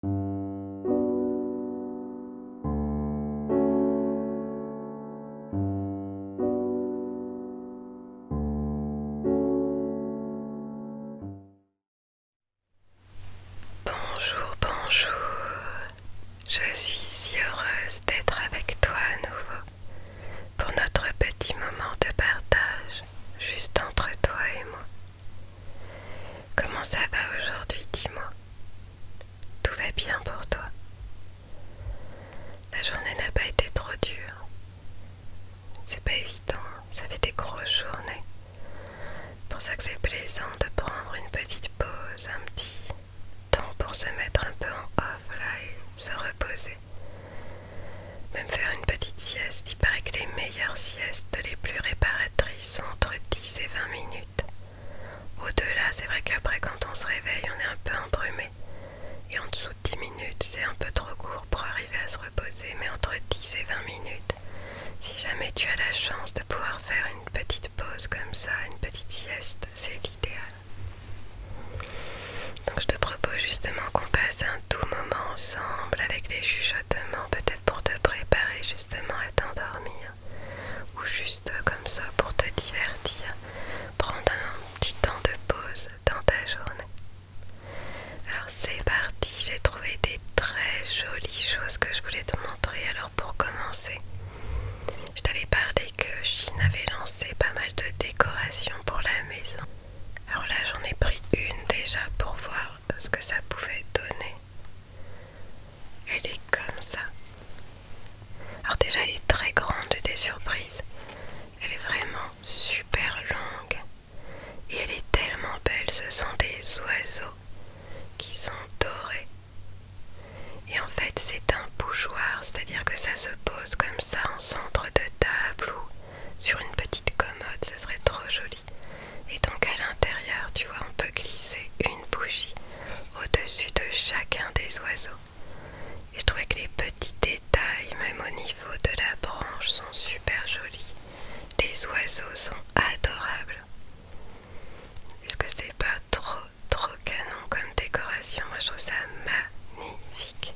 Bonjour, bonjour. Je suis si heureuse d'être avec toi à nouveau pour notre petit moment de partage juste entre toi et moi. Comment ça va aujourd'hui, dis-moi Tout va bien pour toi La journée n'a pas été trop dure. C'est pas évident, ça fait des grosses journées. C'est pour ça que c'est plaisant de prendre une petite pause, un petit temps pour se mettre un peu en off et se reposer. Même faire une petite sieste il paraît que les meilleures siestes, les plus réparatrices, sont entre 10 et 20 minutes. Au-delà, c'est vrai qu'après, quand on se réveille, on est un peu embrumé. Et en dessous de 10 minutes, c'est un peu trop court pour arriver à se reposer, mais entre 10 et 20 minutes. Si jamais tu as la chance de pouvoir faire une petite pause comme ça, une petite sieste, c'est l'idéal. Donc je te propose justement qu'on passe un tout moment ensemble avec les chuchotements, peut-être pour te préparer justement à t'endormir ou juste comme ça pour te divertir, prendre un petit temps de pause dans ta journée. Alors c'est parti, j'ai trouvé des très jolies choses que je voulais te montrer. Alors pour commencer, je t'avais parlé que Chine avait lancé pas mal de décorations pour la maison. Alors là j'en ai pris une déjà pour voir ce que ça pouvait donner. Elle est comme ça. Alors déjà elle est très grande, des surprises. Elle est vraiment super longue. Et elle est tellement belle, ce sont des oiseaux qui sont dorés. Et en fait c'est un bougeoir, c'est-à-dire que ça se pose comme ça en centre de table ou sur une petite commode, ça serait trop joli. Et donc à l'intérieur, tu vois, on peut glisser une bougie au-dessus de chacun des oiseaux. Et je trouvais que les petits détails, même au niveau de la branche, sont super jolis. Les oiseaux sont adorables. Est-ce que c'est pas trop trop canon comme décoration Moi je trouve ça magnifique.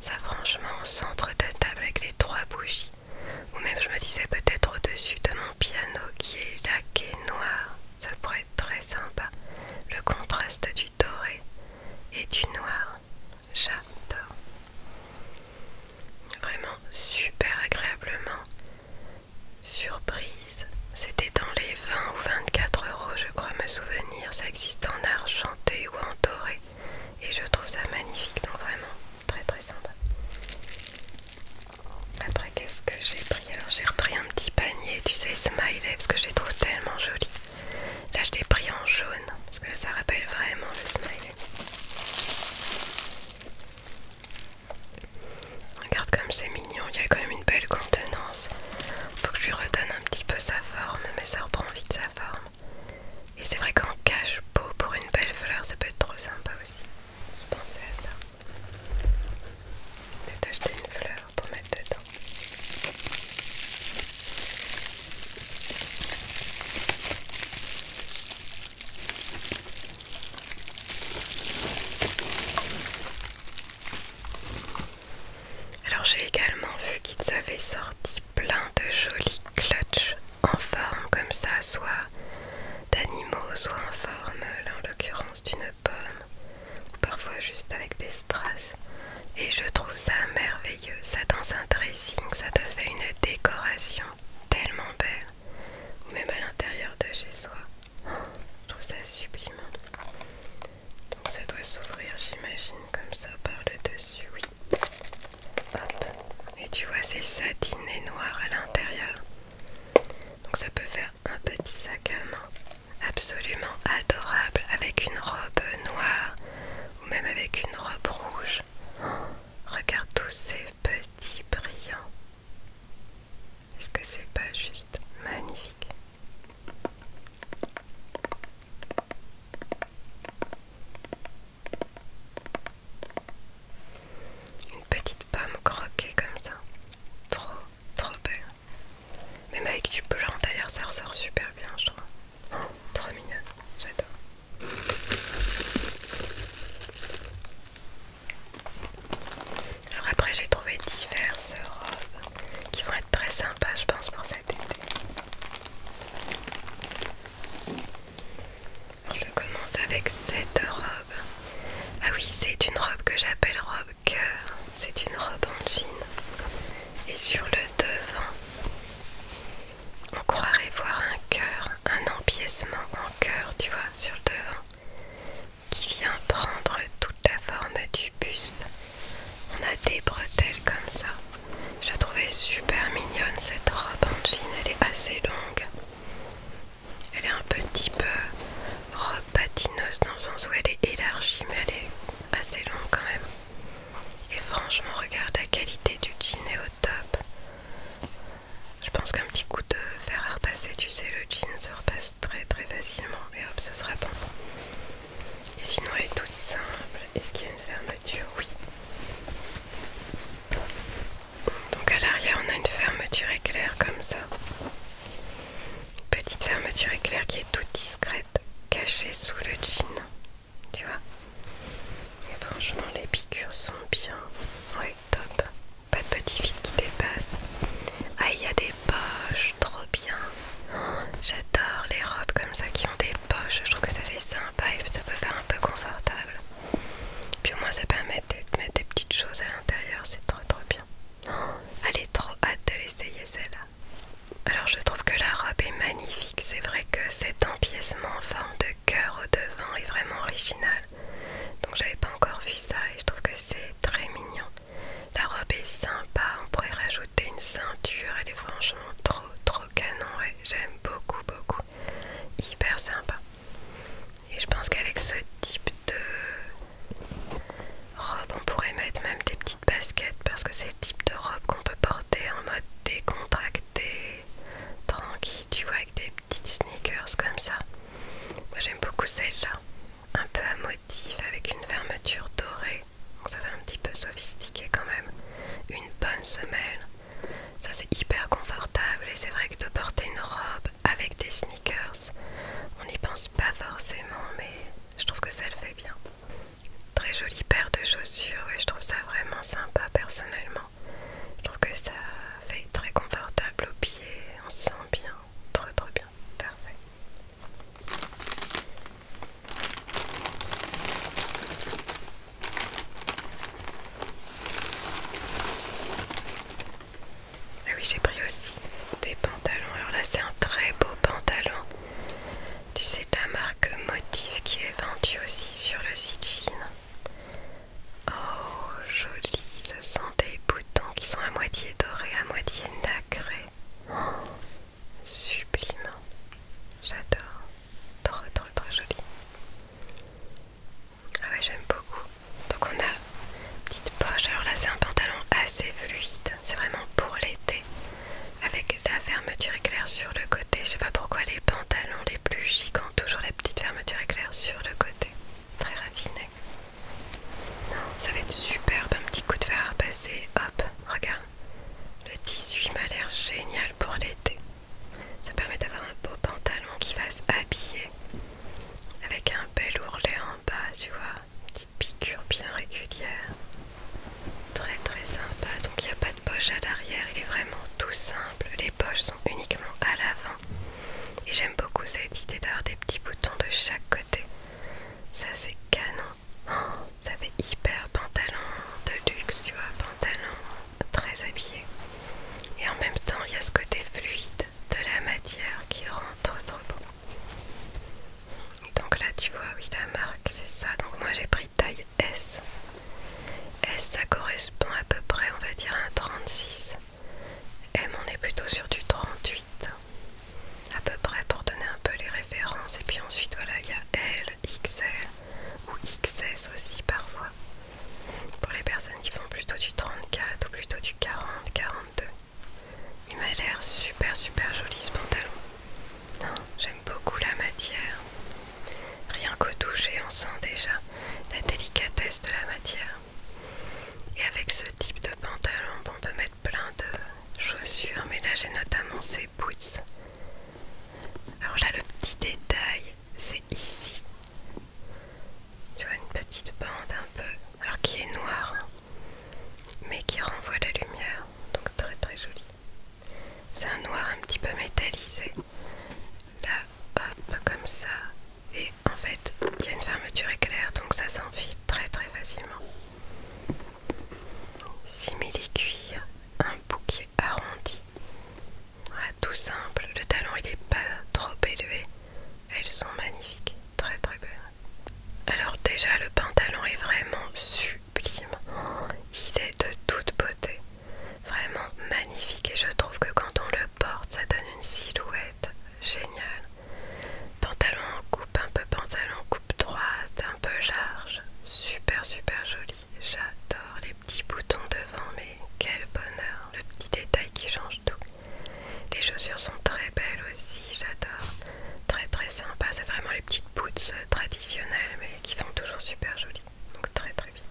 Ça franchement centre de table avec les trois bougies. Ou même je me disais peut-être au-dessus de mon piano qui est laqué noir, ça pourrait être très sympa. Le contraste du doré et du noir, j'adore. Vraiment super agréablement surprise. C'était dans les 20 ou 24 euros, je crois me souvenir. Ça existe en argenté ou en doré. Et je trouve ça magnifique, donc vraiment très très sympa. Après, qu'est-ce que j'ai pris Alors, j'ai repris un petit panier, tu sais, smiley, parce que je les trouve tellement joli Là, je l'ai pris en jaune, parce que là, ça rappelle vraiment le smiley. Regarde comme c'est mignon, il y a quand même une belle contenance. Faut que je lui redonne un petit peu sa forme, mais ça reprend vite sa forme. Et c'est vrai qu'en cache beau pour une belle fleur, ça peut être trop sympa aussi. Je pensais à ça. C'est acheté une fleur pour mettre dedans. Alors j'ai également vu qu'ils avaient sorti plein de jolis clutches en forme comme ça, soit d'animaux, soit en forme, là en l'occurrence d'une pomme, ou parfois juste avec des strass. Et je trouve ça merveilleux, ça dans un dressing, ça te fait une décoration tellement belle, ou même à l'intérieur de chez soi. Je trouve ça sublime. Donc ça doit s'ouvrir, j'imagine, comme ça par le dessus, oui. Et tu vois, c'est satiné noir à l'intérieur. Donc ça peut faire un petit sac à main absolument adorable avec une robe noire ou même avec une robe rouge. Oh, regarde tous ces petits brillants. Est-ce que c'est pas juste magnifique une petite pomme croquée comme ça. Trop, trop belle. Même avec du blanc d'ailleurs, ça ressort super bien, je trouve. Oh, trop mignonne, j'adore. Alors après j'ai trouvé diverses robes qui vont être très sympas je pense pour cet été. Je commence avec cette robe. Ah oui, c'est une robe que j'appelle robe cœur. C'est une robe en jean. Et sur le devant, on croirait voir un cœur, un empiècement en cœur, tu vois, sur le devant, qui vient prendre toute la forme du buste. On a des bretelles comme ça. Je la trouvais super mignonne cette robe en jean, elle est assez longue. Elle est un petit peu robe patineuse dans le sens où elle est élargie mais elle est assez longue quand même. Et franchement regarde la qualité du jean est au top. Je pense qu'un petit coup de fer à repasser, tu sais le jean se repasse très très facilement et hop ce sera bon. Et sinon elle est toute simple. Est-ce qu'il y a une ferme oui. Donc à l'arrière, on a une fermeture éclair comme ça. Petite fermeture éclair qui est toute discrète, cachée sous le jean. Tu vois Et franchement, les piqûres sont bien. Ouais, top. Pas de petit vide qui dépasse. Ah, il y a des poches, trop bien. J'adore les robes comme ça qui ont des poches. Je trouve que ça fait sympa et ça peut faire un peu confortable. Puis au moins ça permet de mettre des petites choses à l'intérieur, c'est trop trop bien. Oh, elle est trop hâte de l'essayer celle-là. Alors je trouve que la robe est magnifique, c'est vrai que cet empiècement en forme de cœur au devant est vraiment original. Donc j'avais pas encore vu ça et je trouve que c'est très mignon. La robe est sympa, on pourrait rajouter une ceinture, elle est franchement trop trop canon et j'aime beaucoup beaucoup hyper sympa. Et je pense qu'avec ce type de robe, on pourrait mettre même des petites baskets parce que c'est le type de robe qu'on peut porter en mode décontracté, tranquille, tu vois, avec des petites sneakers comme ça. Moi j'aime beaucoup celle-là, un peu à motif avec une fermeture dorée, donc ça fait un petit peu sophistiqué quand même. Une bonne semelle, ça c'est hyper confortable et c'est vrai que de porter une robe avec des sneakers, on n'y pense pas forcément mais je trouve que ça le fait bien. Très jolie paire de chaussures et je trouve ça vraiment sympa personnellement. Je trouve que ça fait très confortable aux pieds, on sent bien, trop trop bien, parfait. Ah oui, j'ai pris aussi des pantalons. Alors là, c'est un très beau pantalon. Tu sais, de marque Motif qui est vendue aussi sur le site jean Oh, joli. Ce sont des boutons qui sont à moitié dorés, à moitié nacrés. Oh, sublime. J'adore. Trop, trop, trop joli. Ah ouais, j'aime beaucoup. Donc on a petite poche. Alors là, c'est un pantalon assez fluide. C'est vraiment pour l'été. Avec la fermeture éclair sur le côté. Je sais pas pourquoi les pantalons les plus gigants toujours la petite fermeture éclair sur le côté. Très raffiné. Ça va être superbe. Un petit coup de fer à passer. Hop, regarde. Le tissu m'a l'air génial pour l'été. Ça permet d'avoir un beau pantalon qui va se habiller avec un bel ourlet en bas, tu vois. Une petite piqûre bien régulière. Très très sympa. Donc il n'y a pas de poche à l'arrière, il est vraiment tout simple. Les poches sont uniquement à l'avant. Et j'aime beaucoup cette idée d'avoir des petits boutons de chaque côté. Ça c'est canon. Oh, ça fait hyper pantalon de luxe, tu vois, pantalon très habillé. Et en même temps, il y a ce côté fluide de la matière qui rentre rend trop trop beau. Donc là, tu vois, oui, la marque, c'est ça. Donc moi, j'ai pris taille S. S, ça correspond à peu près, on va dire, à un 36. M, on est plutôt sur du 38. À peu près pour donner un peu les références. Et puis ensuite, voilà, il y a L, XL ou XS aussi parfois, pour les personnes qui font plutôt du 34 ou plutôt du 40, 42. Il m'a l'air super super joli ce pantalon. J'aime beaucoup la matière. Rien qu'au toucher, on sent déjà la délicatesse de la matière. Et avec ce type de pantalon, on peut mettre plein de chaussures, mais là j'ai notamment ces alors là, le petit détail, c'est ici. Tu vois une petite bande un peu, alors qui est noire, mais qui renvoie la lumière, donc très très joli. C'est un noir un petit peu métallisé. Là, hop, comme ça. Et en fait, il y a une fermeture éclair, donc ça s'enfile très très facilement. Simili cuir un bouquet arrondi. Ah, tout simple, le talon il est pas trop élevé. Elles sont magnifiques, très très belles. Alors déjà le pantalon est vraiment sublime. Il est de toute beauté. Vraiment magnifique et je trouve que quand on le porte, ça donne une silhouette géniale. Pantalon coupe, un peu pantalon coupe droite, un peu large. Super super joli. J'adore les petit bouton devant, mais quel bonheur, le petit détail qui change tout. Les chaussures sont très belles aussi, j'adore. Très très sympa, c'est vraiment les petites boots euh, traditionnelles, mais qui font toujours super jolies. Donc très très bien.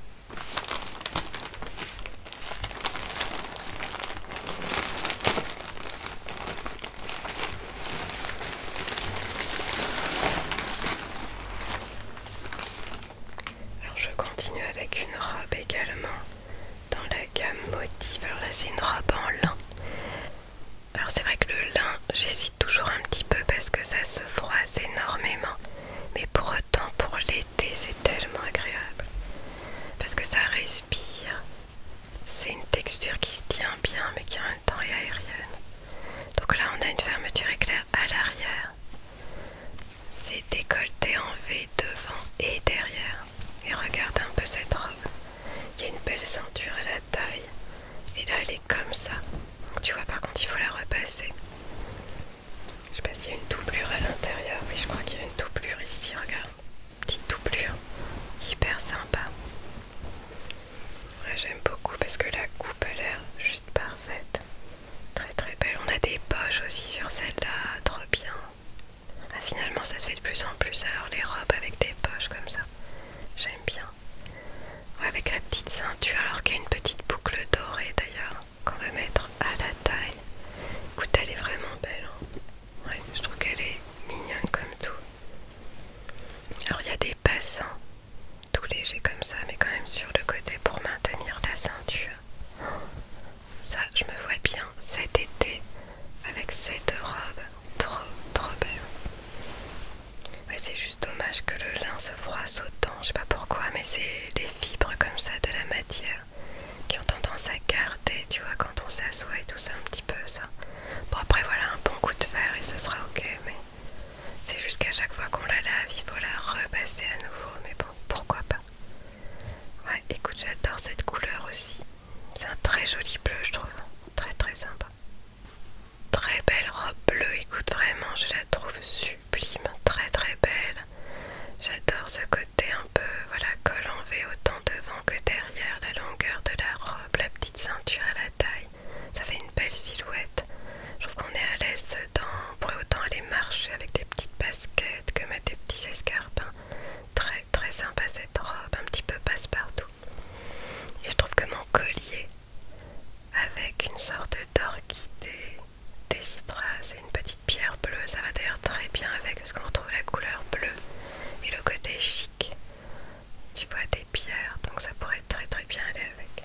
Alors je continue avec une robe également dans la gamme motif. Alors là c'est une robe en lin. Alors c'est vrai que le lin j'hésite toujours un petit peu parce que ça se froisse énormément. Mais pour autant pour l'été c'est tellement agréable. Parce que ça respire. C'est une texture qui se tient bien mais qui a et aérienne. Donc là on a une fermeture éclair à l'arrière. C'est décolleté en V devant et derrière. Et regarde un peu cette robe. Il y a une belle ceinture à la taille. Et là elle est comme ça. Donc tu vois par contre il faut la repasser. Je sais pas s'il y a une doublure à l'intérieur. Oui je crois qu'il y a une doublure ici, regarde. Petite doublure. Hyper sympa. J'aime beaucoup parce que la coupe a l'air juste parfaite. Très très belle. On a des poches aussi sur celle-là, trop bien. Ah, finalement, ça se fait de plus en plus. Alors les robes avec des poches comme ça, j'aime bien. avec la petite ceinture, alors qu'il y a une petite boucle dorée d'ailleurs qu'on va mettre à la taille. Écoute, elle est vraiment belle. Hein. ouais, je trouve qu'elle est mignonne comme tout. Alors il y a des passants tout léger comme ça, mais quand même sur le côté pour maintenir la ceinture. Ça, je me vois bien cet été avec cette robe trop trop belle. c'est juste dommage que le lin se froisse autant, je sais pas pourquoi, mais c'est les fibres comme ça de la matière qui ont tendance à garder, tu vois, quand on s'assoit tout ça, un petit peu ça. Bon, après, voilà, un bon coup de fer et ce sera ok, mais c'est juste qu'à chaque fois qu'on la lave, il faut la repasser à nouveau. Mais bon, pourquoi pas Ouais, écoute, j'adore cette couleur aussi. C'est un très joli bleu, je trouve. Très très sympa. Très belle robe bleue, écoute, vraiment, je la trouve sublime. Très très belle. J'adore ce côté un peu, voilà, col en V autant devant que derrière, la longueur de la robe, la petite ceinture à la taille ça fait une belle silhouette. Je trouve qu'on est à l'aise dedans, on pourrait autant aller marcher avec des petites baskets que mettre des petits escarpins. Très très sympa cette robe, un petit peu passe-partout. Et je trouve que mon collier, avec une sorte d'orchidée, des strass et une petite pierre bleue, ça va d'ailleurs très bien avec parce qu'on retrouve la couleur bleue et le côté chic. Tu vois, des pierre donc ça pourrait très très bien aller avec.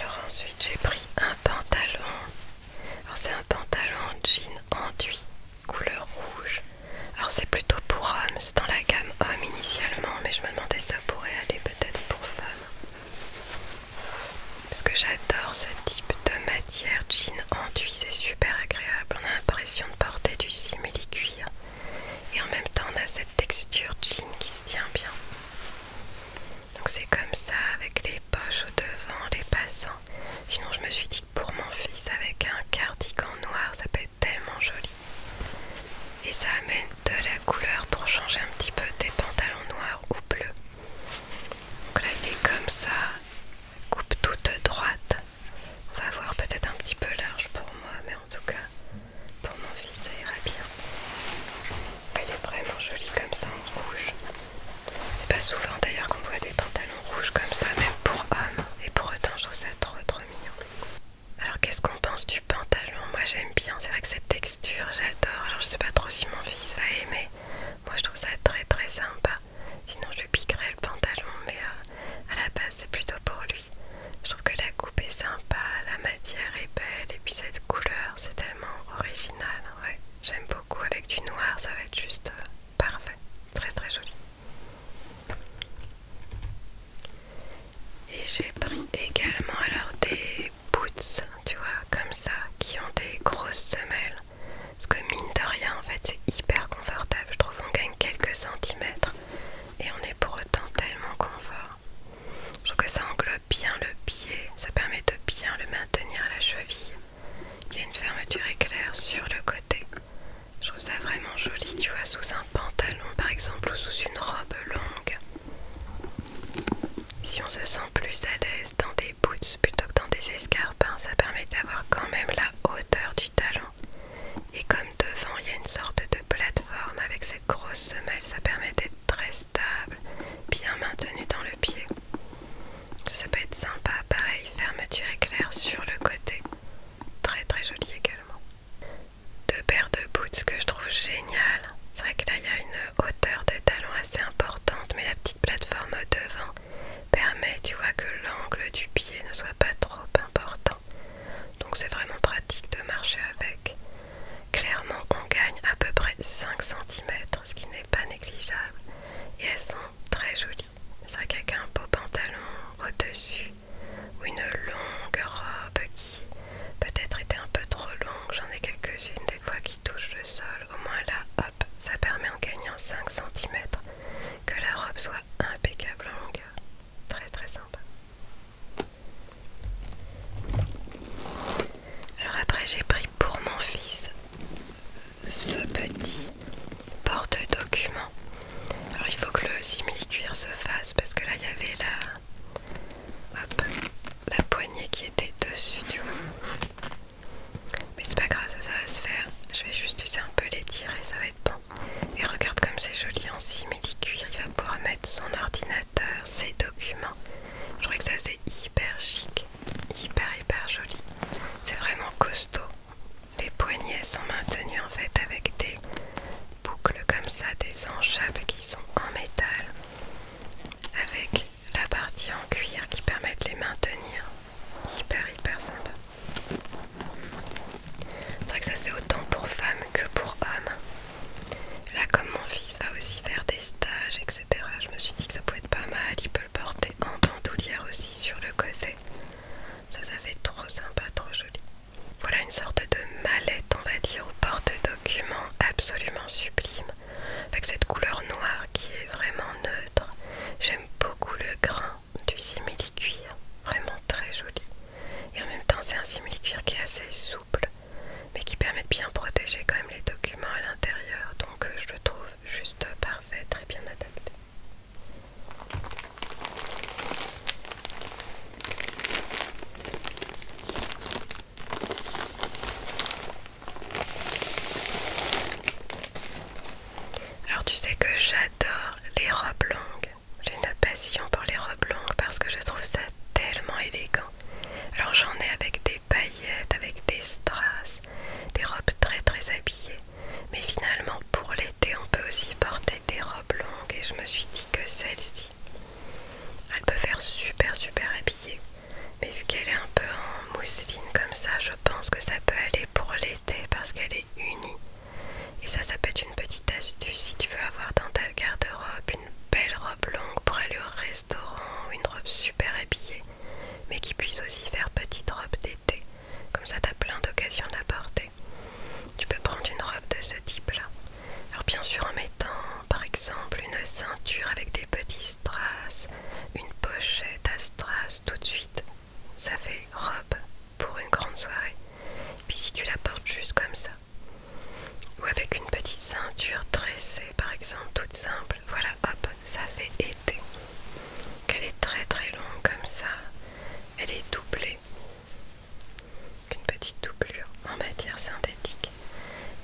Alors ensuite j'ai pris un pantalon. c'est un pantalon jean enduit couleur rouge. Alors c'est plutôt pour hommes. c'est dans la gamme homme initialement, mais je me demandais ça pourrait aller peut-être pour femmes. Parce que j'adore ce type de matière jean enduit, c'est super agréable. On a l'impression de porter du simili-cuir. Et en même temps on a cette texture jean qui se tient bien. Donc c'est comme ça avec les poches au devant, les passants. Sinon je me suis dit pour mon fils avec un cardigan noir, ça peut être tellement joli. Et ça amène de la couleur pour changer un petit peu des pantalons noirs ou bleus. Donc là il est comme ça, coupe toute droite. On va voir peut-être un petit peu large pour moi, mais en tout cas pour mon fils ça ira bien. Il est vraiment joli comme ça en rouge. C'est pas souvent d'ailleurs qu'on voit des pantalons rouge comme ça, même pour homme. Et pour autant, je trouve ça trop trop mignon. Alors, qu'est-ce qu'on pense du pantalon Moi j'aime bien, c'est vrai que cette texture, j'adore. Alors, je sais pas trop si mon fils va aimer. Moi je trouve ça très très sympa. Sinon, je piquerais le pantalon, mais euh, à la base, c'est plutôt pour lui. Je trouve que la coupe est sympa, la matière est belle, et puis cette couleur, c'est tellement original. j'aime beaucoup. Avec du noir, ça va être juste. Euh, Parfait, très très joli. Et j'ai pris également alors des boots, tu vois, comme ça, qui ont des grosses semelles. Ce que mine de rien, en fait, c'est hyper confortable. Je trouve qu'on gagne quelques centimètres et on est pour autant tellement confort. Je trouve que ça englobe bien le pied, ça permet de bien le maintenir à la cheville. Il y a une fermeture éclair sur le côté. Je trouve ça vraiment joli, tu vois, sous un pantalon par exemple ou sous une robe longue. Si on se sent plus à l'aise dans des boots plutôt que dans des escarpins, ça permet d'avoir quand même la hauteur du talon. Et comme devant il y a une sorte de plateforme avec cette grosse semelle, ça permet d'être très stable, bien maintenu dans le pied ça peut être sympa, pareil, fermeture éclair sur le côté, très très joli également. Deux paires de boots que je trouve géniales, c'est vrai que là il y a une hauteur de talon assez importante, mais la petite plateforme au devant permet, tu vois, que l'angle du pied ne soit pas trop important, donc c'est vraiment pratique de marcher avec. Clairement, on gagne à peu près 5 cm, ce qui n'est pas négligeable, et elles sont très jolies. C'est vrai qu'avec un beau pantalon au-dessus ou une longue robe qui peut-être était un peu trop longue, j'en ai quelques-unes des fois qui touchent le sol, au moins là, hop, ça permet en gagnant 5 cm que la robe soit impeccable en longueur. Très très sympa. Alors après j'ai pris pour mon fils ce petit porte-document. Alors il faut que le simili-cuir se fasse parce que là il y avait la, la poignée qui était dessus du coup. Mais c'est pas grave, ça, ça va se faire. Je vais juste user un peu les tirer, ça va être bon. Et regarde comme c'est joli en simili-cuir. Il va pouvoir mettre son ordinateur, ses documents. Je crois que ça c'est hyper chic, hyper hyper joli. C'est vraiment costaud. Les poignets sont maintenus en fait avec des boucles comme ça, des enchables qui sont en métal, avec la partie en cuir qui permet de les maintenir. Hyper hyper sympa. C'est vrai que ça c'est autant pour femmes que pour hommes. Là comme mon fils va aussi faire des stages, etc. Je me suis dit que ça pouvait être pas mal. Il peut le porter en bandoulière aussi sur le côté. Ça, ça fait trop sympa, trop joli. Voilà une sorte de mallette, on va dire, au porte-documents absolument sublime. Avec cette couleur noire qui est vraiment neutre. J'aime beaucoup le grain du simili-cuir, vraiment très joli. Et en même temps, c'est un simili-cuir qui est assez souple, mais qui permet de bien protéger quand même les documents à l'intérieur. Donc, euh, je le trouve juste parfait, très bien adapté. Alors tu sais que j'adore les robes longues. J'ai une passion pour les robes longues parce que je trouve ça tellement élégant. Alors j'en ai avec des paillettes, avec des strass, des robes très très habillées. Mais finalement, pour l'été, on peut aussi porter des robes longues et je me suis dit que celle-ci, elle peut faire super super habillée. Mais vu qu'elle est un peu en mousseline comme ça, je pense que ça peut aller pour l'été parce qu'elle est unie. Et ça, ça peut être une petite astuce si tu veux avoir dans ta garde-robe une belle robe longue pour aller au restaurant ou une robe super habillée, mais qui puisse aussi faire petite robe d'été. Comme ça, t'as plein d'occasions porter Tu peux prendre une robe de ce type-là. Alors bien sûr en mettant par exemple une ceinture avec des petits strass, une pochette à strass tout de suite, ça fait robe pour une grande soirée. Puis si tu la portes juste comme ça, ou avec une petite ceinture tressée par exemple toute simple, voilà hop, ça fait été. Qu'elle est très très longue comme ça. Elle est doublée. Une petite doublure en matière synthétique.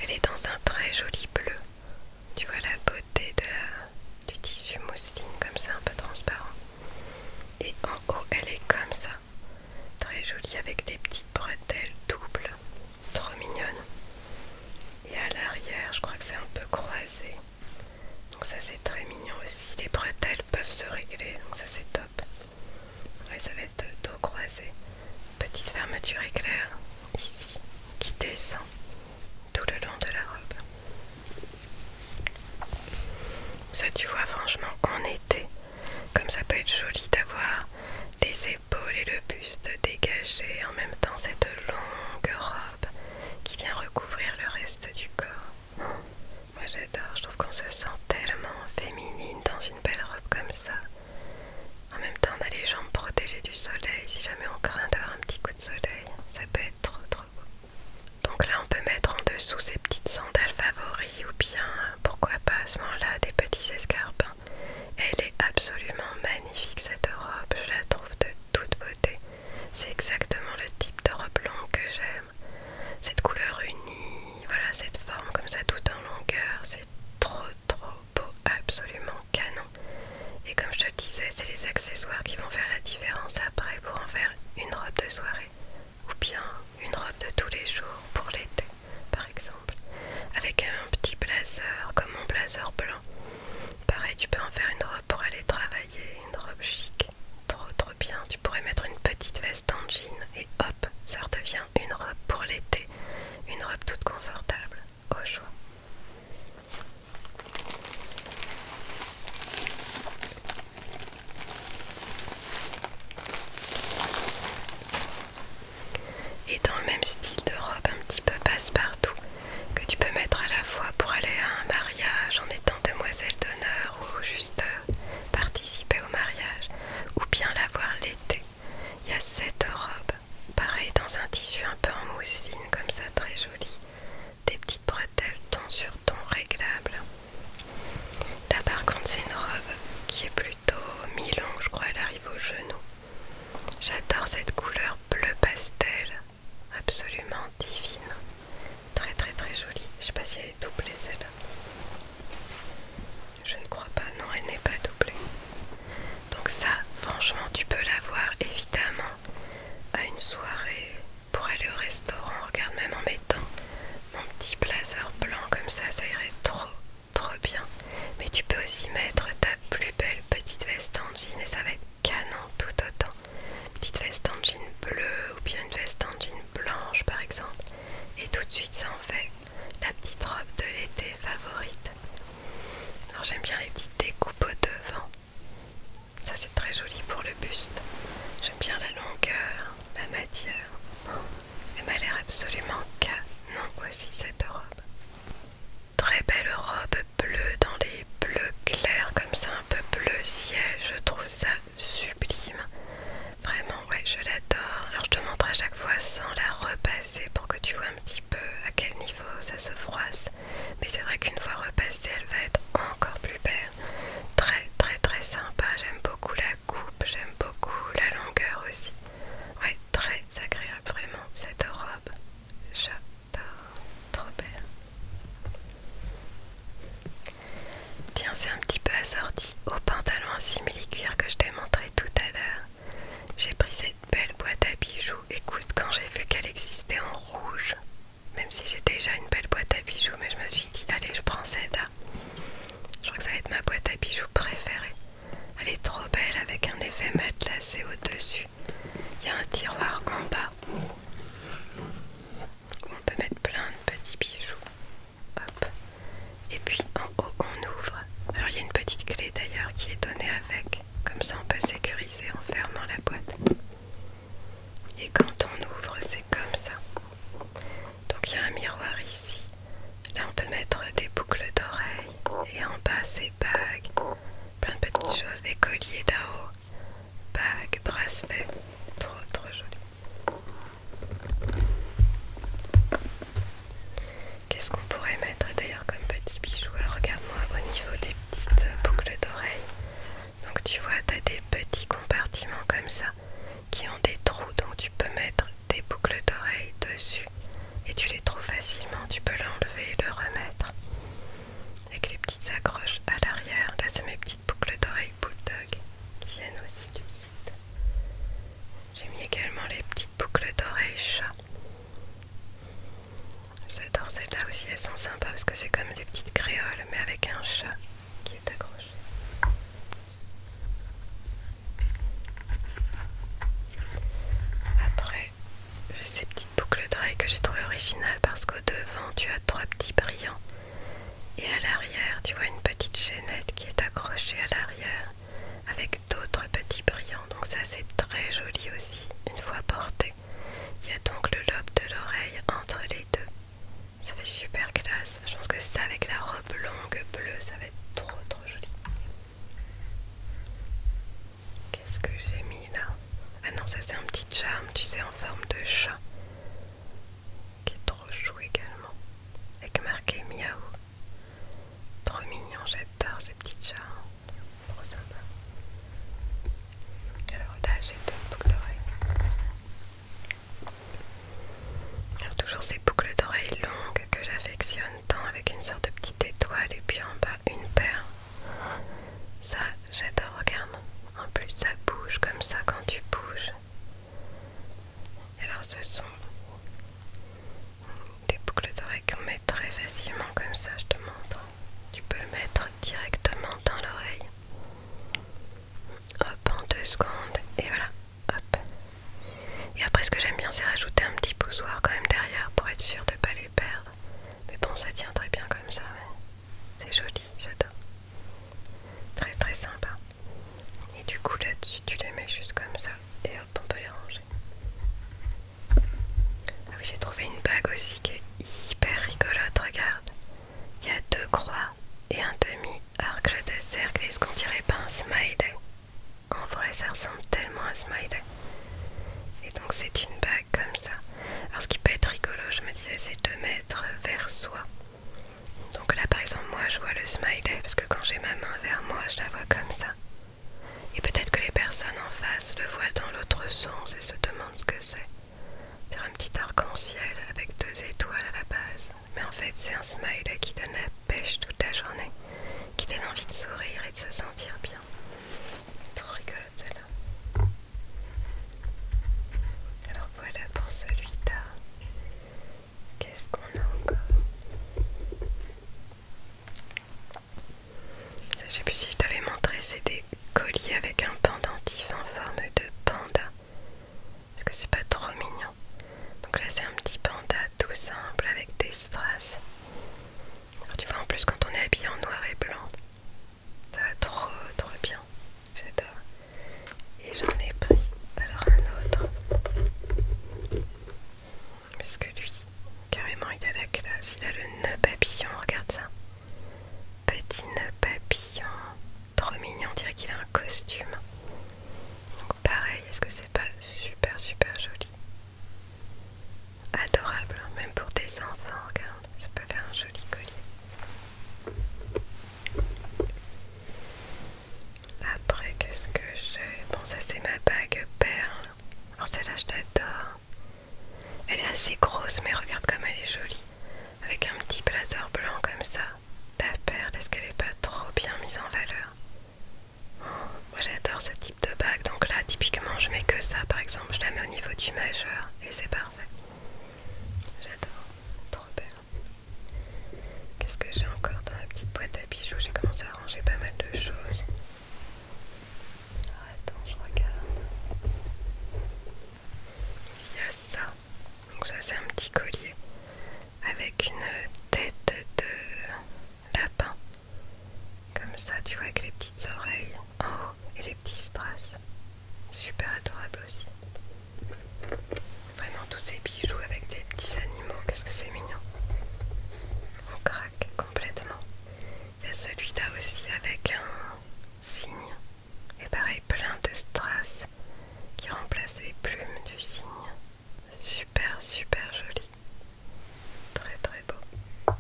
Elle est dans un très joli bleu. Tu vois la beauté du tissu mousseline comme ça, un peu transparent. Et en haut, elle est comme ça. Très jolie avec des petites bretelles doubles. Trop mignonne. Et à l'arrière, je crois que c'est un peu croisé. Donc ça c'est très mignon aussi. Les bretelles peuvent se régler, donc ça c'est top. Et ça va être dos croisé. Petite fermeture éclair ici qui descend tout le long de la robe. Ça tu vois franchement en été, comme ça peut être joli d'avoir les épaules et le buste dégagés en même temps cette longue robe qui vient recouvrir le reste du corps. Moi j'adore, je trouve qu'on se sent tellement féminine dans une belle robe comme ça. En même temps, on a les jambes protégées du soleil si jamais on craint d'avoir un petit coup de soleil. Ça peut être trop trop beau. Donc là, on peut mettre en dessous ses petites sandales favoris ou bien, pourquoi pas à ce moment-là, des petits escarpins. Elle est absolument magnifique cette robe, je la trouve de toute beauté. C'est exactement le type de robe longue que j'aime. Cette couleur unie, voilà, cette forme comme ça tout en longueur, c'est trop trop beau, absolument canon. Et comme je te le disais, c'est les accessoires qui vont faire la différence après pour en faire une robe de soirée ou bien une robe de tous les jours pour l'été par exemple avec un petit blazer comme mon blazer blanc Pareil, tu peux en faire une robe pour aller travailler, une robe chic. Trop trop bien. Tu pourrais mettre une petite veste en jean et hop, ça redevient une robe pour l'été. Une robe toute confortable, au choix. Et dans le même style de robe un petit peu passe-partout, que tu peux mettre à la fois pour aller à un mariage en étant demoiselle d'honneur ou juste euh, participer au mariage ou bien la voir l'été. Il y a cette robe, pareil dans un tissu un peu en mousseline comme ça, très jolie. Des petites bretelles ton sur ton réglables Là par contre c'est une robe qui est plutôt mi-longue, je crois elle arrive au genou. J'adore cette couleur bleu pastel absolument divine. Très très très jolie. Je sais pas si elle est doublée celle-là. Je ne crois pas. Non, elle n'est pas doublée. Donc ça, franchement, tu peux l'avoir évidemment à une soirée pour aller au restaurant. Regarde même en mettant mon petit blazer blanc comme ça, ça irait trop trop bien. Mais tu peux aussi mettre ta plus belle petite veste en jean et ça va être canon tout autant petite veste en jean bleu ou bien une veste en jean blanche par exemple et tout de suite ça en fait la petite robe de l'été favorite alors j'aime bien les petites découpes au devant ça c'est très joli pour le buste j'aime bien la longueur la matière elle m'a l'air absolument canon aussi cette robe Très belle robe bleue dans les bleus clairs comme ça, un peu bleu ciel. Je trouve ça sublime. Vraiment, ouais, je l'adore. Alors je te montre à chaque fois sans la repasser pour que tu vois un petit peu à quel niveau ça se froisse. Mais c'est vrai qu'une fois repassée, elle va être encore plus belle. Très très très sympa. J'aime beaucoup la coupe, j'aime beaucoup la longueur aussi. Ouais, très agréable vraiment cette robe. J'adore trop belle Tiens, c'est un petit peu assorti au pantalon en simili-cuir que je t'ai montré tout à l'heure. J'ai pris cette belle boîte à bijoux. Écoute, quand j'ai vu qu'elle existait en rouge, même si j'ai déjà une belle boîte à bijoux, mais je me suis dit, allez, je prends celle-là. Je crois que ça va être ma boîte à bijoux préférée. Elle est trop belle avec un effet matelassé au-dessus. Il y a un tiroir en bas où on peut mettre plein de petits bijoux. Et puis en haut on ouvre. Alors il y a une petite clé d'ailleurs qui est donnée avec. Comme ça on peut sécuriser en fermant la boîte. Et quand on ouvre c'est comme ça. Donc il y a un miroir ici. Là on peut mettre des boucles d'oreilles. Et en bas c'est bagues plein de petites choses, des colliers là-haut, bagues, bracelets, trop trop joli. Qu'est-ce qu'on pourrait mettre d'ailleurs comme petit bijou Alors regarde-moi au niveau des petites euh, boucles d'oreilles. Donc tu vois, tu as des petits compartiments comme ça qui ont des trous, donc tu peux mettre des boucles d'oreilles dessus et tu les trouves facilement, tu peux l'enlever et le remettre avec les petites accroches à l'arrière. Là, c'est mes petites boucles d'oreilles bulldog qui viennent aussi du site. J'ai mis également les petites boucles d'oreilles chat. J'adore celles-là aussi, elles sont sympas parce que c'est comme des petites créoles mais avec un chat qui est accroché. Après, j'ai ces petites boucles d'oreilles que j'ai trouvées originales parce qu'au devant tu as trois petits brillants et à l'arrière tu vois une petite chaînette qui est accrochée à l'arrière avec d'autres petits brillants donc ça c'est très joli aussi une fois porté. Il y a donc le lobe de l'oreille entre les deux. Ça fait super classe. Je pense que ça avec la robe longue bleue ça va être trop trop joli. Qu'est-ce que j'ai mis là Ah non, ça c'est un petit charme, tu sais, en forme de chat. Qui est trop chou également. Avec marqué miaou. Trop mignon, j'adore ces petits charmes. Trop sympa. Alors là, j'ai deux boucles d'oreilles. Alors toujours ces boucles d'oreilles longues que j'affectionne tant avec une sorte de petite étoile et puis en bas une paire ça, j'adore, regarde. En plus, ça bouge comme ça quand tu bouges. Alors, ce sont des boucles d'oreilles qu'on met très facilement comme ça, je te montre. Tu peux le mettre directement dans l'oreille. Hop, en deux secondes, et voilà. Hop. Et après, ce que j'aime bien, c'est rajouter un petit boussoir quand même derrière pour être sûr de ne pas les perdre. Mais bon, ça tient très bien comme ça. C'est joli, j'adore. Très très sympa. Et du coup, là-dessus, tu les mets juste comme ça. Et hop, on peut les ranger. Ah j'ai trouvé une bague aussi qui est hyper rigolote. Regarde. Il y a deux croix et un demi-arc de cercle. Est-ce qu'on dirait pas un smiley En vrai, ça ressemble tellement à un smiley. Et donc, c'est une bague comme ça. Alors ce qui peut être rigolo, je me disais, c'est de mettre vers soi. Donc là par exemple, moi je vois le smiley parce que quand j'ai ma main vers moi, je la vois comme ça. Et peut-être que les personnes en face le voient dans l'autre sens et se demandent ce que c'est. C'est un petit arc-en-ciel avec deux étoiles à la base. Mais en fait, c'est un smiley qui donne la pêche toute la journée, qui donne envie de sourire et de se sentir bien. Trop rigolo là Alors voilà pour celui-là. Qu'est-ce qu'on a encore je sais plus si je t'avais montré, c'est des colliers avec un pendentif en forme de panda. Est-ce que c'est pas trop mignon Donc là, c'est un petit panda tout simple avec des strass. Alors tu vois en plus quand on est habillé en noir et blanc, ça va trop trop bien. J'adore. Et j'en ai pris alors un autre. Parce que lui, carrément il a la classe, il a le nœud papillon, regarde ça. Petit nœud papillon. Trop mignon, on dirait qu'il a un costume. Donc pareil, est-ce que c'est pas super super joli Adorable, hein, même pour des enfants, regarde, ça peut faire un joli collier. Après, qu'est-ce que j'ai Bon, ça c'est ma bague perle. Alors celle-là, je l'adore. Elle est assez grosse, mais regarde comme elle est jolie. Avec un petit blazer blanc comme ça. La perle, est-ce qu'elle n'est pas trop bien mise en valeur oh, moi j'adore ce type de bague, donc là typiquement je mets que ça par exemple, je la mets au niveau du majeur et c'est parfait. J'adore, trop belle. Qu'est-ce que j'ai encore dans la petite boîte à bijoux J'ai commencé à ranger pas mal de choses. Ah, attends, je regarde. Il y a ça, donc ça c'est un petit collier avec une tête de lapin comme ça, tu vois, avec les petites oreilles en haut et les petits strass. Super adorable aussi. Vraiment, tous ces bijoux avec des petits animaux, qu'est-ce que c'est mignon. On craque complètement. Il y a celui-là aussi avec un signe Et pareil, plein de strass qui remplacent les plumes du cygne. Super, super joli. Très très beau.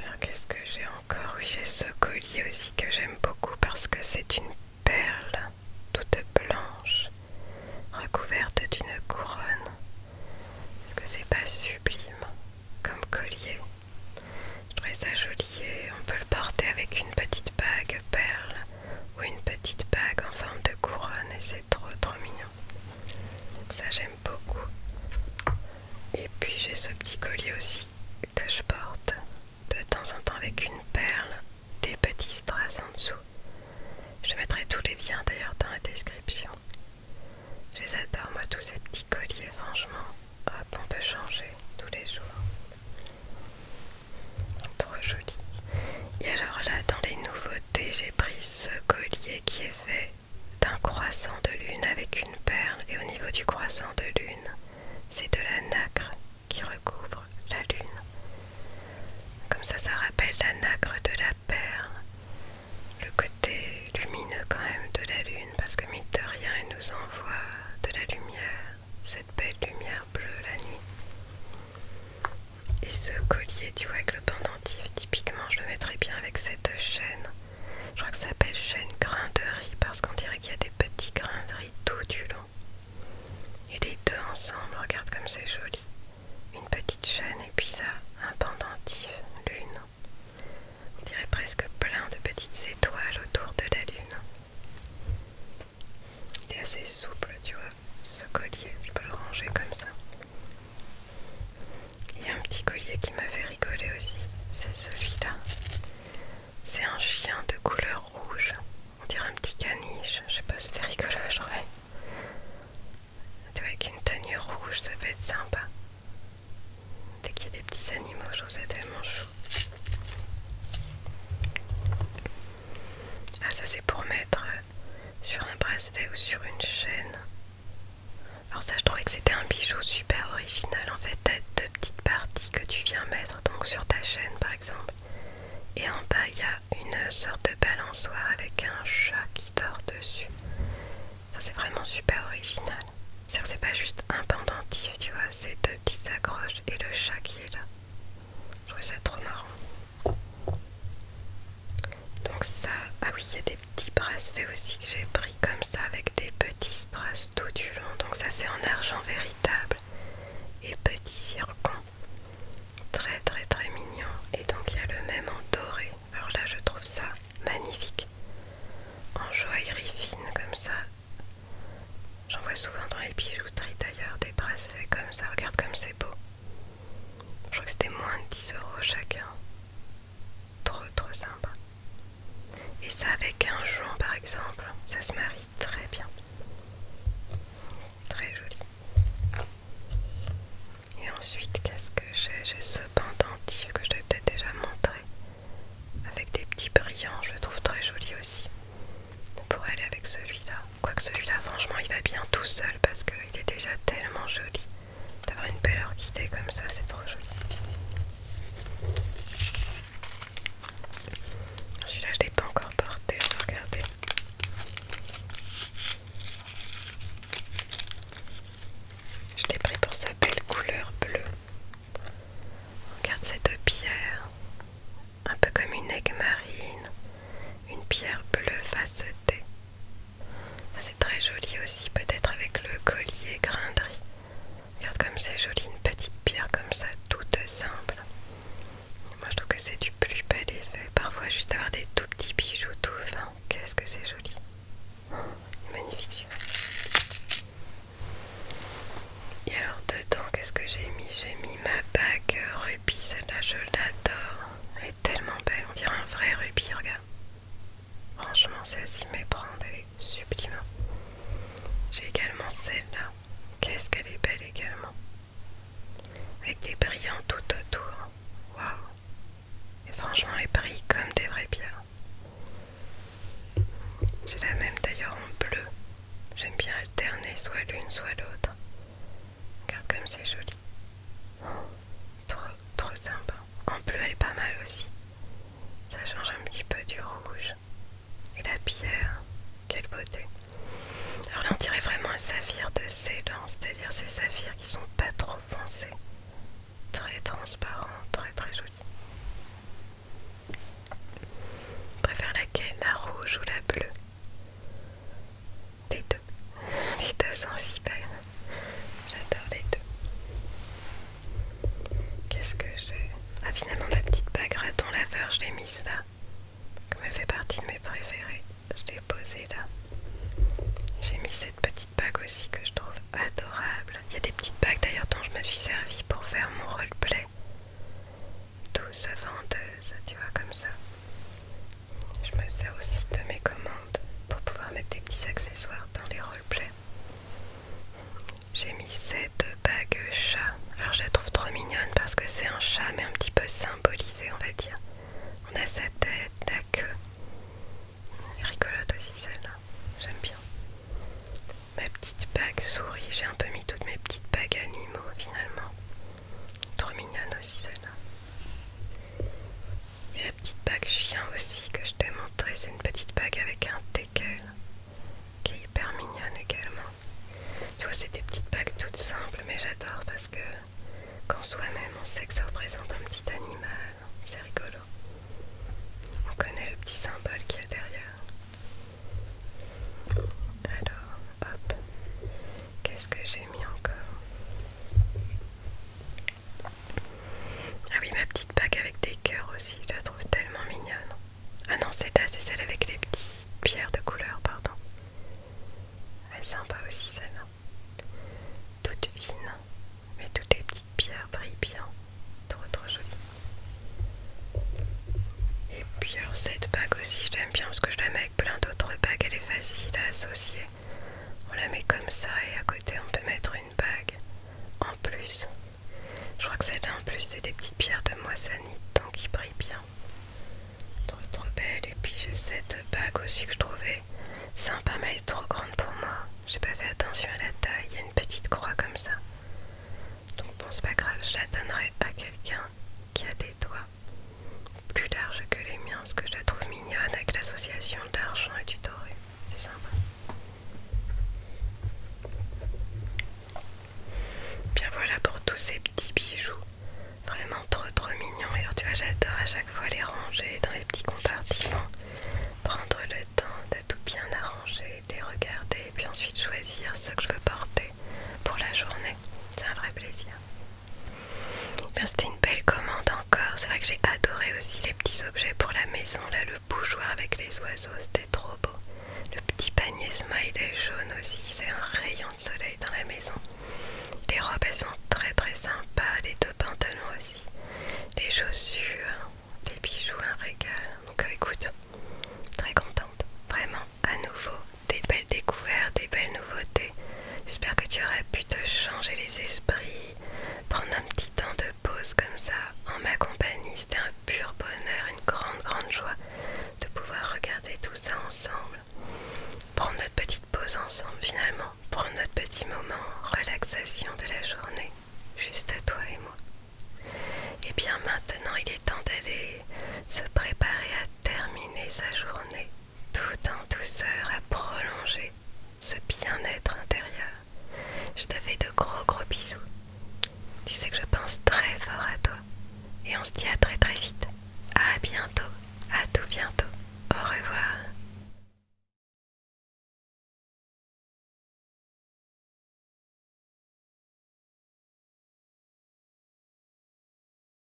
Alors qu'est-ce que j'ai encore Oui, j'ai ce collier aussi que j'aime beaucoup parce que c'est une perle toute blanche recouverte d'une couronne. Est-ce que c'est pas sublime comme collier Je trouvais ça joli on peut le porter avec une petite bague perle ou une petite bague en forme de couronne et c'est trop trop mignon. ça j'aime beaucoup. Et puis j'ai ce petit collier aussi que je porte de temps en temps avec une perle, des petits strass en dessous. Je mettrai tous les liens d'ailleurs dans la description. Je les adore moi tous ces petits colliers, franchement. on peut changer tous les jours. Trop joli. Et alors là, dans les nouveautés, j'ai pris ce collier qui est fait d'un croissant de lune avec une perle et au niveau du croissant de lune, c'est de la nacre qui recouvre la lune. Comme ça, ça rappelle la nacre de la perle, le côté lumineux quand même de la lune, parce que mine de rien, elle nous envoie de la lumière, cette belle lumière bleue la nuit. Et ce collier, tu vois, avec le pendentif, typiquement, je le mettrais bien avec cette chaîne. Je crois que ça s'appelle chaîne grain de riz parce qu'on dirait qu'il y a des petits grains de riz tout du long. Et les deux ensemble, regarde comme c'est joli. Une petite chaîne et puis là, un pendentif, lune. On dirait presque plein de petites étoiles autour de la lune. Il est assez souple, tu vois, ce collier. Je peux le ranger comme ça. Il y a un petit collier qui m'a fait rigoler aussi, c'est celui-là. C'est un chien de couleur rouge, on dirait un petit caniche, je sais pas, si c'était rigolo, tu vois, Avec une tenue rouge, ça peut être sympa. Dès qu'il y a des petits animaux, je trouve ça tellement chou. Ah ça c'est pour mettre euh, sur un bracelet ou sur une chaîne. Alors ça je trouvais que c'était un bijou super original en fait, t'as deux petites parties que tu viens mettre donc sur ta chaîne par exemple et en bas il y a une sorte de balançoire avec un chat qui dort dessus. Ça c'est vraiment super original. C'est c'est pas juste un pendentif tu vois, c'est deux petites accroches et le chat qui est là. Je trouvais ça trop marrant. Donc ça, ah oui, il y a des petits bracelets aussi que j'ai pris comme ça avec des petits strass tout du long. Donc ça c'est en argent véritable et petits zircon. Très très très mignon. Et donc il y a le même en doré. Alors là je trouve ça magnifique. En joaillerie fine comme ça. J'en vois souvent dans les bijouteries d'ailleurs des bracelets comme ça. Regarde comme c'est beau. Je crois que c'était moins de 10 euros chacun. Trop trop sympa. Et ça avec un jean par exemple, ça se marie très bien. Très joli. Et ensuite, qu'est-ce que j'ai J'ai ce pendentif que je t'ai peut-être déjà montré. Avec des petits brillants, je le trouve très joli aussi. Pour aller avec celui-là. Quoique celui-là, franchement, il va bien tout seul parce que il est déjà tellement joli. D'avoir une belle orchidée comme ça, c'est trop joli. Celui-là, je ne l'ai pas encore porté, Regardez Je l'ai pris pour sa belle couleur bleue. regarde cette pierre un peu comme une aigle marine, une pierre bleue facetée c'est très joli aussi, peut-être avec le collier grindri. Regarde comme c'est joli, une petite pierre comme ça, toute simple. Moi je trouve que c'est du plus bel effet. Parfois juste avoir des tout petits bijoux tout fins, qu'est-ce que c'est joli. Oh, magnifique. Et alors dedans, qu'est-ce que j'ai mis J'ai mis ma bague rubis, celle-là je l'adore tellement belle, on dirait un vrai rubis, regarde. Franchement, c'est à s'y elle est sublime. Hein. J'ai également celle-là. Qu'est-ce qu'elle est belle également. Avec des brillants tout autour. Hein. Waouh. Et franchement, elle brille comme des vrais pierres. J'ai la même d'ailleurs en bleu. J'aime bien alterner soit l'une soit l'autre. Regarde comme c'est joli. trop, trop sympa. En bleu, elle est pas mal aussi. Ça change un petit peu du rouge. Et la pierre, quelle beauté. Alors là, on dirait vraiment un saphir de Ceylan, c'est-à-dire ces saphirs qui sont pas trop foncés. Très transparent, très très joli. préfère laquelle La rouge ou la bleue les deux. Les deux sont belles. J'adore les deux. Qu'est-ce que j'ai Ah finalement la petite bague raton laveur, je l'ai mise là. Comme elle fait partie de mes préférées, je l'ai posée là. J'ai mis cette petite bague aussi que je trouve adorable. Il y a des petites bagues d'ailleurs dont je me suis servi pour faire mon roleplay. Douce vendeuse, tu vois comme ça. Je me sers aussi de mes commandes pour pouvoir mettre des petits accessoires dans les roleplays. J'ai mis cette bague chat. Alors je la trouve trop mignonne parce que c'est un chat mais un petit peu symbolisé on va dire. On a sa tête, la queue. Elle aussi celle-là. J'aime bien. Ma petite bague souris. J'ai un peu mis toutes mes petites bagues animaux finalement. Trop mignonne aussi celle-là. Il y a la petite bague chien aussi que je t'ai montré C'est une petite bague avec un teckel qui est hyper mignonne également. Tu vois, c'est des petites bagues toutes simples, mais j'adore parce que quand soi-même on sait que ça représente un petit animal, c'est rigolo. On connaît le petit symbole qu'il y a derrière. Alors, Qu'est-ce que j'ai mis encore Ah oui, ma petite bague avec des cœurs aussi. Je la trouve tellement mignonne. Ah non, celle-là, c'est celle avec les petites pierres de couleur, pardon. Elle est sympa aussi, celle-là. Toute fine, mais toutes les petites pierres brillent bien. Trop, trop jolie. Et puis alors cette bague aussi je l'aime bien parce que je la avec plein d'autres bagues, elle est facile à associer. On la met comme ça et à côté on peut mettre une bague en plus. Je crois que celle-là en plus c'est des petites pierres de moissanite donc qui brille bien. Trop trop belle et puis j'ai cette bague aussi que je trouvais sympa mais elle est trop grande pour moi. J'ai pas fait attention à la taille, il y a une petite croix comme ça. Donc bon c'est pas grave, je la donnerai à quelqu'un qui a des doigts plus large que les miens parce que je la trouve mignonne avec l'association de l'argent et du doré. C'est sympa. Bien voilà pour tous ces petits bijoux. Vraiment trop trop mignons Et alors tu vois j'adore à chaque fois les ranger dans les petits compartiments. Prendre le temps de tout bien arranger, de les regarder et puis ensuite choisir ce que je veux porter pour la journée. C'est un vrai plaisir. C'était une belle commande encore. C'est vrai que j'ai adoré aussi les petits objets pour la maison. Là, le bougeoir avec les oiseaux, c'était trop beau. Le petit panier smiley jaune aussi, c'est un rayon de soleil dans la maison. Les robes, elles sont très très sympas. Les deux pantalons aussi. Les chaussures, les bijoux, un régal. Donc euh, écoute, très contente. Vraiment, à nouveau, des belles découvertes, des belles nouveautés. J'espère que tu auras pu te changer les esprits, prendre un petit temps de pause comme ça en ma compagnie. C'était un pur bonheur, une grande, grande joie de pouvoir regarder tout ça ensemble. Prendre notre petite pause ensemble finalement, prendre notre petit moment relaxation de la journée, juste toi et moi. Et eh bien maintenant, il est temps d'aller se préparer à terminer sa journée tout en douceur à prolonger ce bien-être intérieur. Je te fais de gros gros bisous. Tu sais que je pense très fort à toi. Et on se dit à très très vite. À bientôt. À tout bientôt. Au revoir.